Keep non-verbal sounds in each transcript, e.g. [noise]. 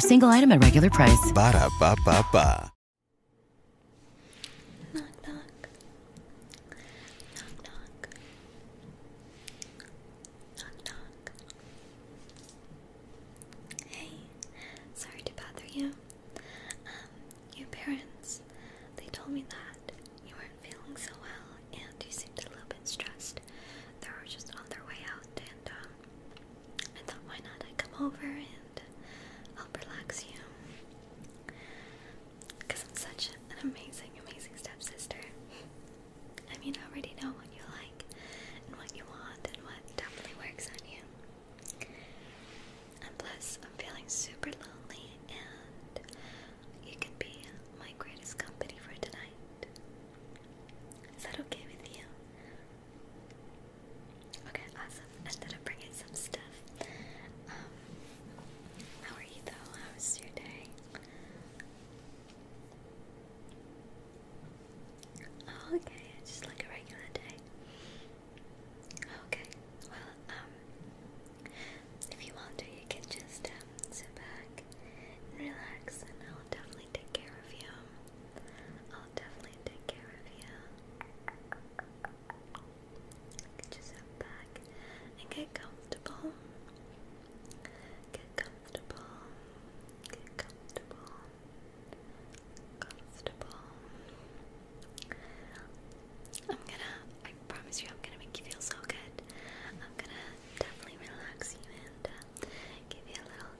offer. Single item at regular price. Ba da ba ba ba. Knock knock. Knock knock. Knock knock. Hey, sorry to bother you. Um, your parents—they told me that you weren't feeling so well, and you seemed a little bit stressed they were just on their way out, and um, I thought, why not? I come over and help relax you. Because I'm such an amazing, amazing stepsister. I mean, I already know what you like, and what you want, and what definitely works on you. And plus, I'm feeling super lonely, and you can be my greatest company for tonight. Is that okay with you? Okay, awesome. I thought I'd bring in some stuff. Um, how are you though? How was your day? Oh, okay, just like a regular day. Okay, well, um, if you want to, you can just um, sit back relax, and I'll definitely take care of you. I'll definitely take care of you. Get yourself back and get comfortable. Get comfortable. Get comfortable. Comfortable. I'm gonna, I promise you, I'm gonna make you feel so good. I'm gonna definitely relax you and uh, give you a little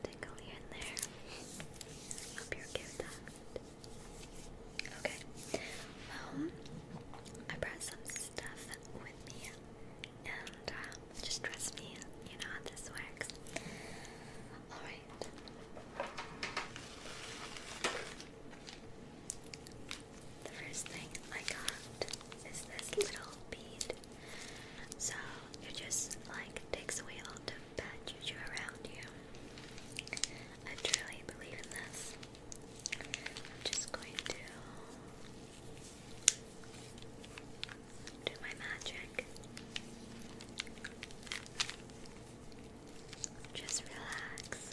um, I brought some stuff with me, and um, just trust me, you know how this works. All right. The first thing I got is this little bead so it just like takes away all the bad juju around you. I truly believe in this. I'm just going to do my magic. Just relax.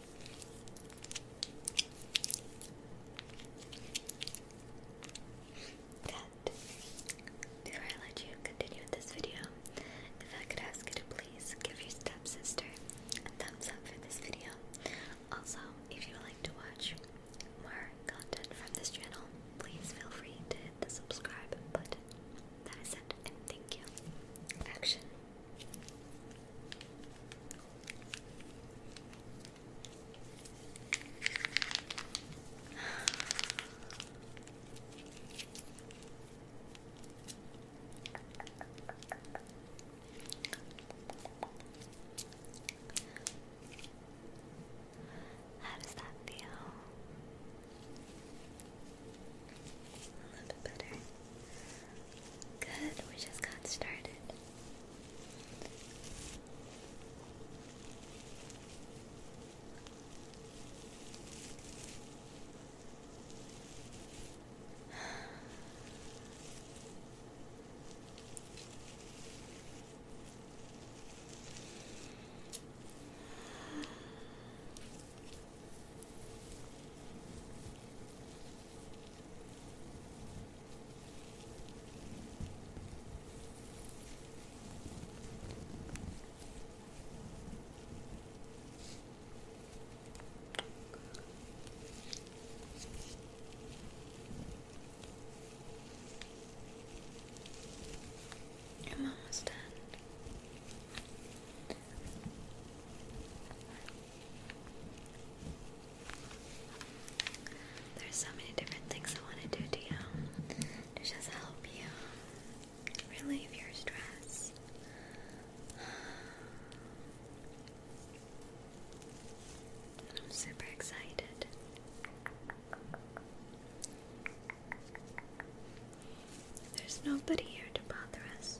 That. Before I let you continue this video, if I could ask you to please give your stepsister a thumbs up for this video. Also, if you would like to watch more content from this channel, please feel free to hit the subscribe button. That is it, thank you. Action. How does that feel? A little bit better. Good, we just got started. I'm almost done. There's so many different things I want to do to you to just help you relieve your stress. I'm super excited. There's nobody here to bother us.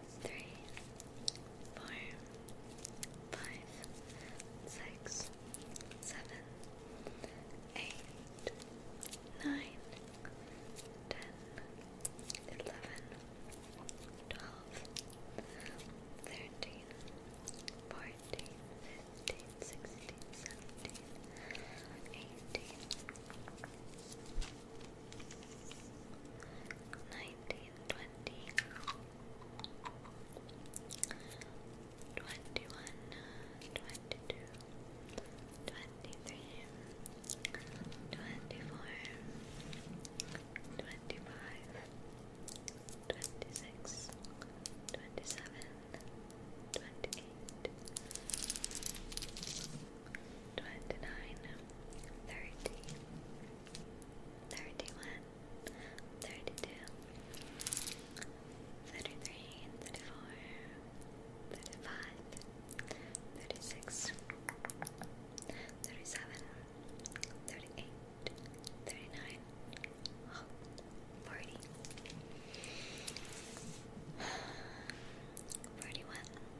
three, four, five, six, seven, eight, nine, ten, eleven, twelve, thirteen, fourteen, fifteen, sixteen, seventeen, eighteen. 19, nineteen, twenty, twenty-one, twenty-two, twenty-three, twenty-four, twenty-five, twenty-six, twenty-seven, twenty-eight. 29 twenty-nine, thirty, thirty-one, thirty-two, thirty-three, thirty-four, thirty-five, thirty-six, thirty-seven, thirty-eight, thirty-nine, oh, forty. 41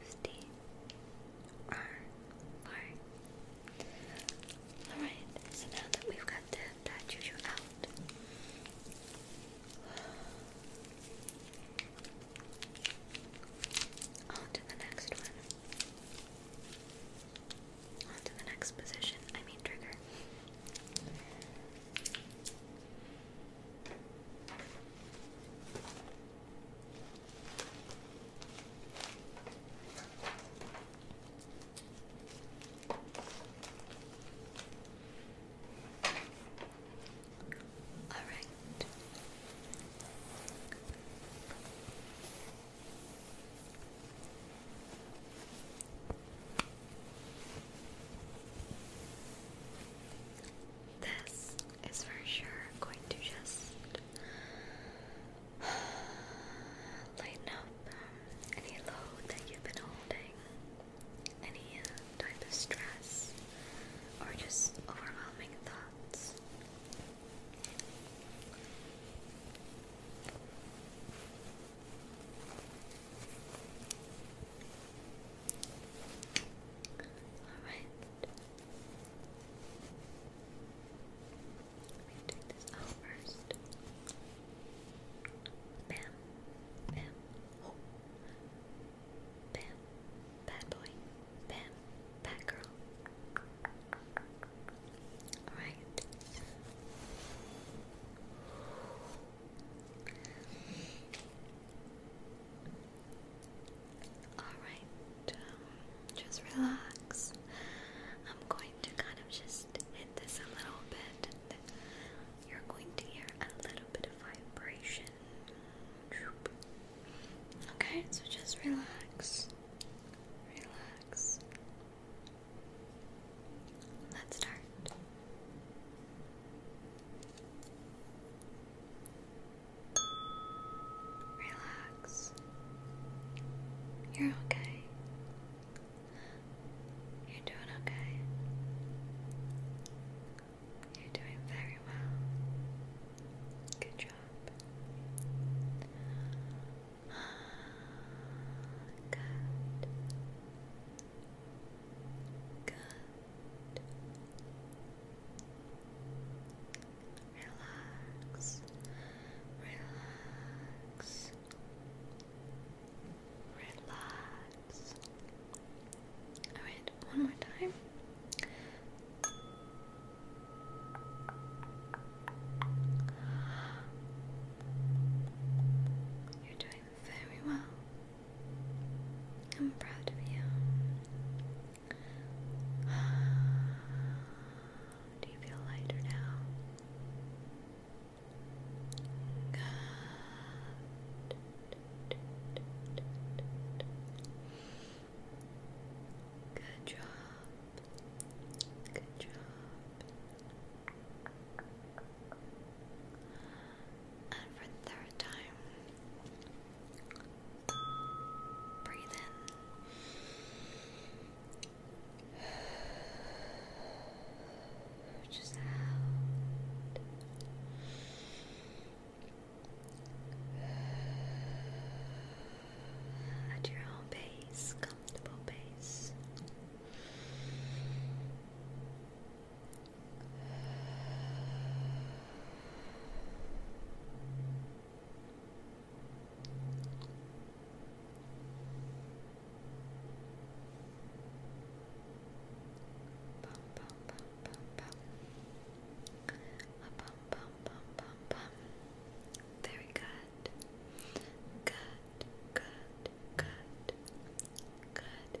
fifty or Alright, so now that we've got the, that out. On the next one. the next position, I mean trigger. All right. This is for sure going to just [sighs] lighten up any load that you've been holding, any uh, type of stress, or just overwhelming thoughts. Alright, let me take this out first. Bam, bam, oh, bam, bad boy, bam, bad girl. All right. Alright, um, just relax. I'm going to kind of just hit this a little bit, you're going to hear a little bit of vibration. Okay, so just relax. Relax. Let's start. Relax. You're okay. You're doing okay. You're doing very well. Good job. [sighs] Good. Good. Relax, relax, relax. Alright, one more time. You're doing very well. I'm proud of you. [sighs] Do you feel lighter now? Good. job. Good job. And for the third time, breathe in. Just out. At your own pace, comfortable pace. Very good. Good, good, good, good,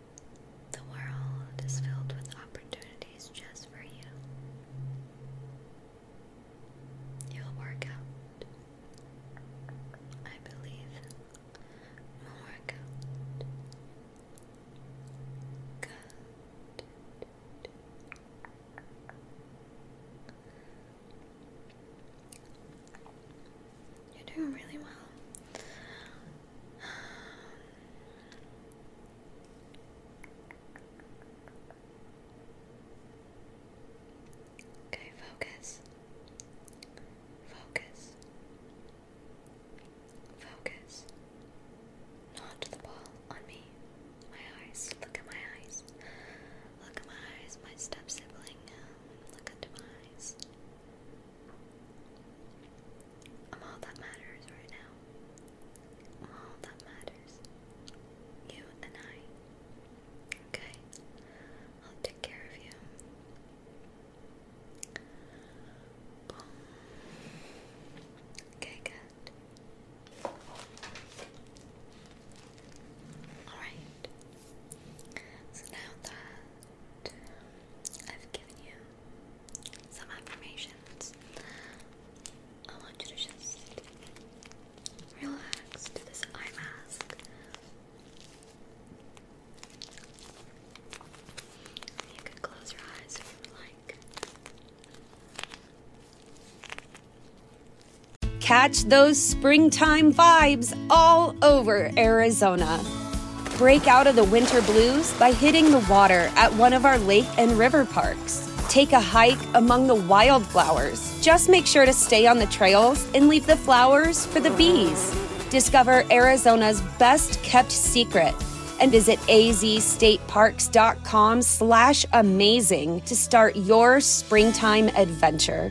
The world is filled with opportunities just for you. You'll work out. I believe we'll work out. Good. You're doing really well. Okay, focus. Focus. Focus. Not the ball on me. My eyes. Look at my eyes. Look at my eyes, my step sibling. Look into my eyes. I'm all that matters right now. all that matters. You and I. Okay? I'll take care of you. Okay, good. Alright. So now that I've given you some affirmations. I want you to just relax to this eye mask. You can close your eyes if you like. Catch those springtime vibes all over Arizona. Break out of the winter blues by hitting the water at one of our lake and river parks. Take a hike among the wildflowers. Just make sure to stay on the trails and leave the flowers for the bees. Discover Arizona's best kept secret and visit azstateparks.com slash amazing to start your springtime adventure.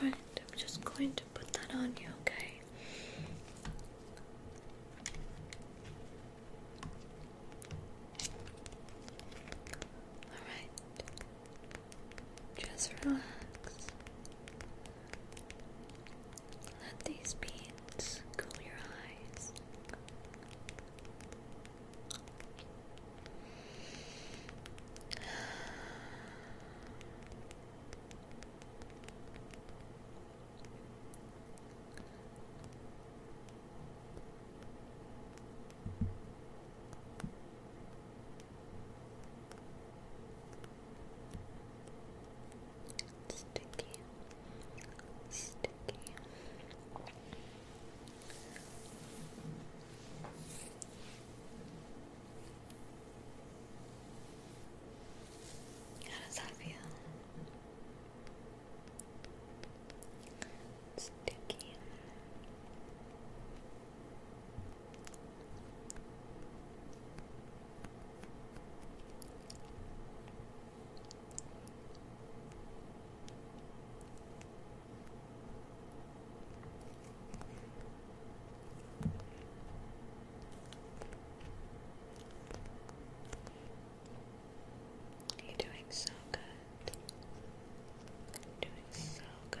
Alright, I'm just going to put that on you, okay? Alright. Just relax. Let these beads cool your eyes. Sticky, sticky. How does that feel? sticky. You're doing so good good. Doing so good. Doing so good.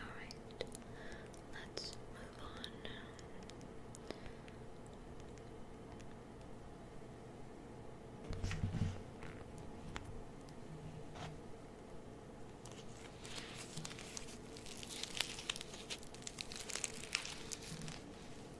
Alright, let's move on.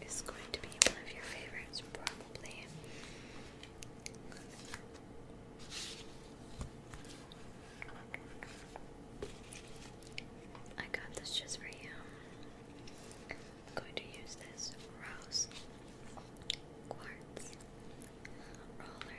it's going to be one of your favorites, probably. I got this just for you. I'm going to use this rose quartz roller.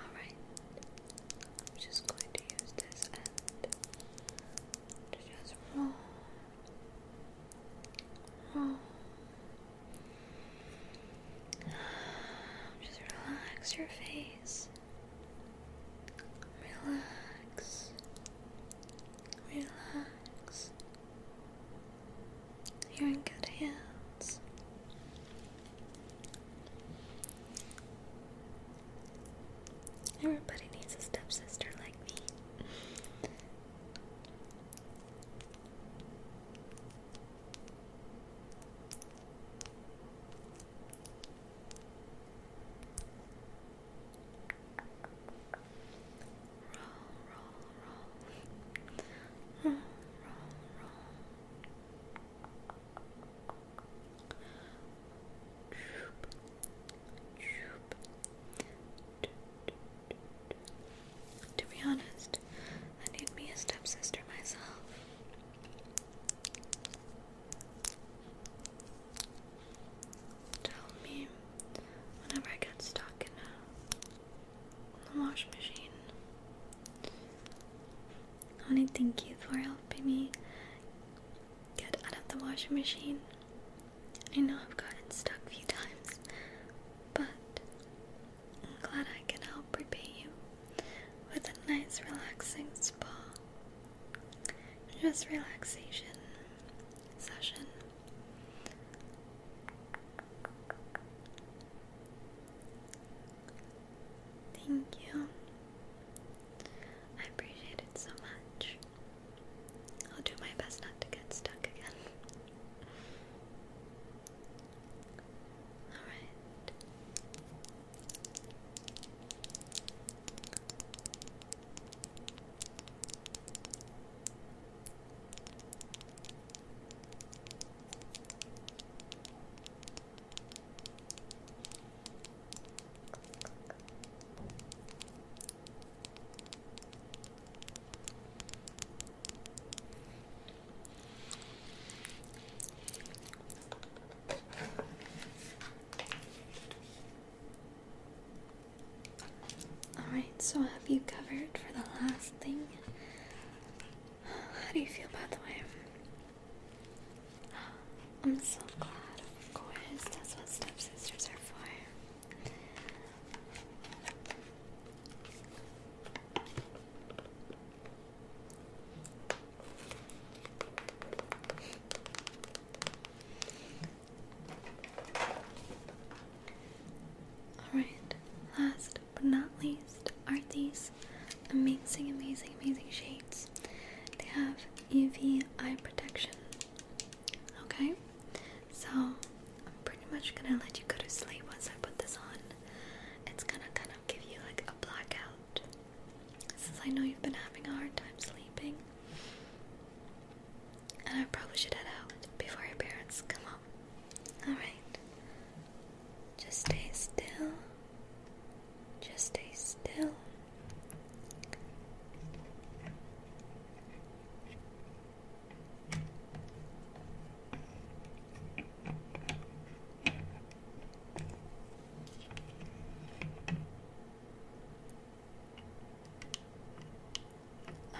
Alright, I'm just going to use this end just roll, roll. Just relax your face. Relax. Relax. You're in good hands. Everybody needs a stepsister like me. Roll, roll, roll. Hmm, roll, roll, roll. To be honest, I need me a stepsister myself. Tell me whenever I get stuck in a the wash machine. I want to thank you for helping me get out of the washing machine. I know I've gotten stuck a few times, but I'm glad I can help repay you with a nice, relaxing spa. Just relaxation session. Thank you. I appreciate it so much. I'll do my best not to get stuck again. Alright. Alright, so have you covered for the last thing? How do you feel, by the way? I'm so glad, of course. That's what stepsisters are for. All right, last but not least, are these amazing, amazing, amazing shades. They have UV eye protection. Okay? So, I'm pretty much gonna let you go to sleep once I put this on. It's gonna kind of give you like a blackout. Since I know you've been having a hard time sleeping. And I probably should head out before your parents come home. All right. Just stay still. Just stay still.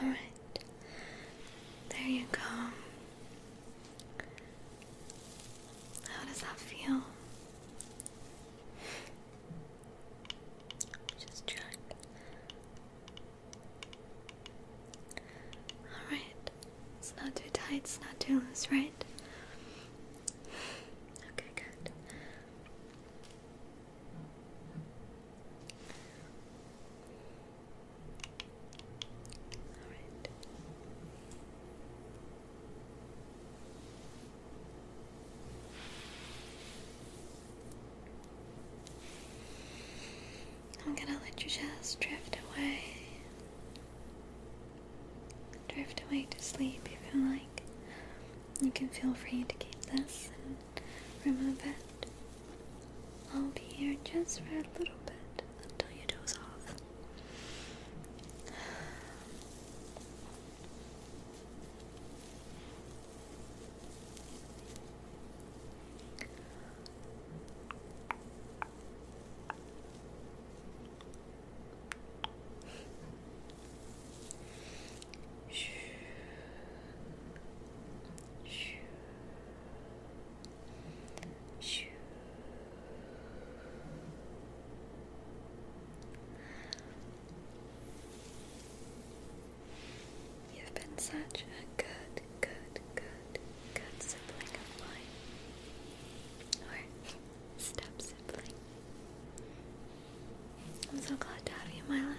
All right. There you go. How does that feel? Just check. Alright, it's not too tight, it's not too loose, right? Okay, good i right. I'm gonna let your chest drift away. Drift away to sleep if you like. You can feel free to keep this and remove it. I'll be here just for a little bit until you doze off. Shh. Shh. You've been such a good, good, good, good sibling of mine. Or step sibling. I'm so glad to have you in my life.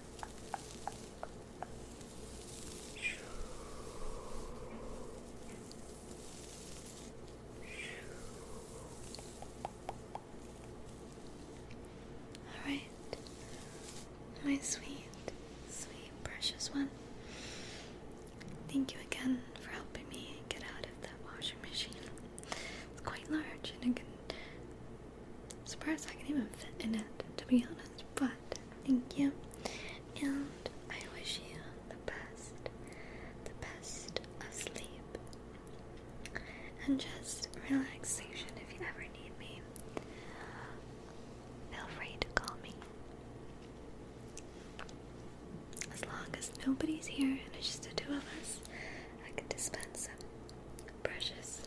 All right, my sweet, sweet, precious one. Thank you again for helping me get out of that washing machine. It's quite large and it surprised I can even fit in it, to be honest. But thank you, and I wish you the best, the best of sleep, and just relaxation if you ever need me. Feel free to call me. As long as nobody's here and it's just the two of us, I can dispense some precious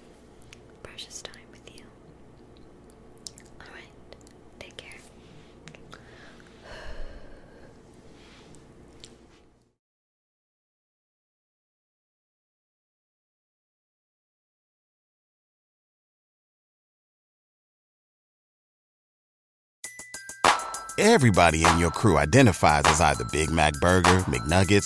precious time with you. Alright, take care. Everybody in your crew identifies as either Big Mac Burger, McNuggets,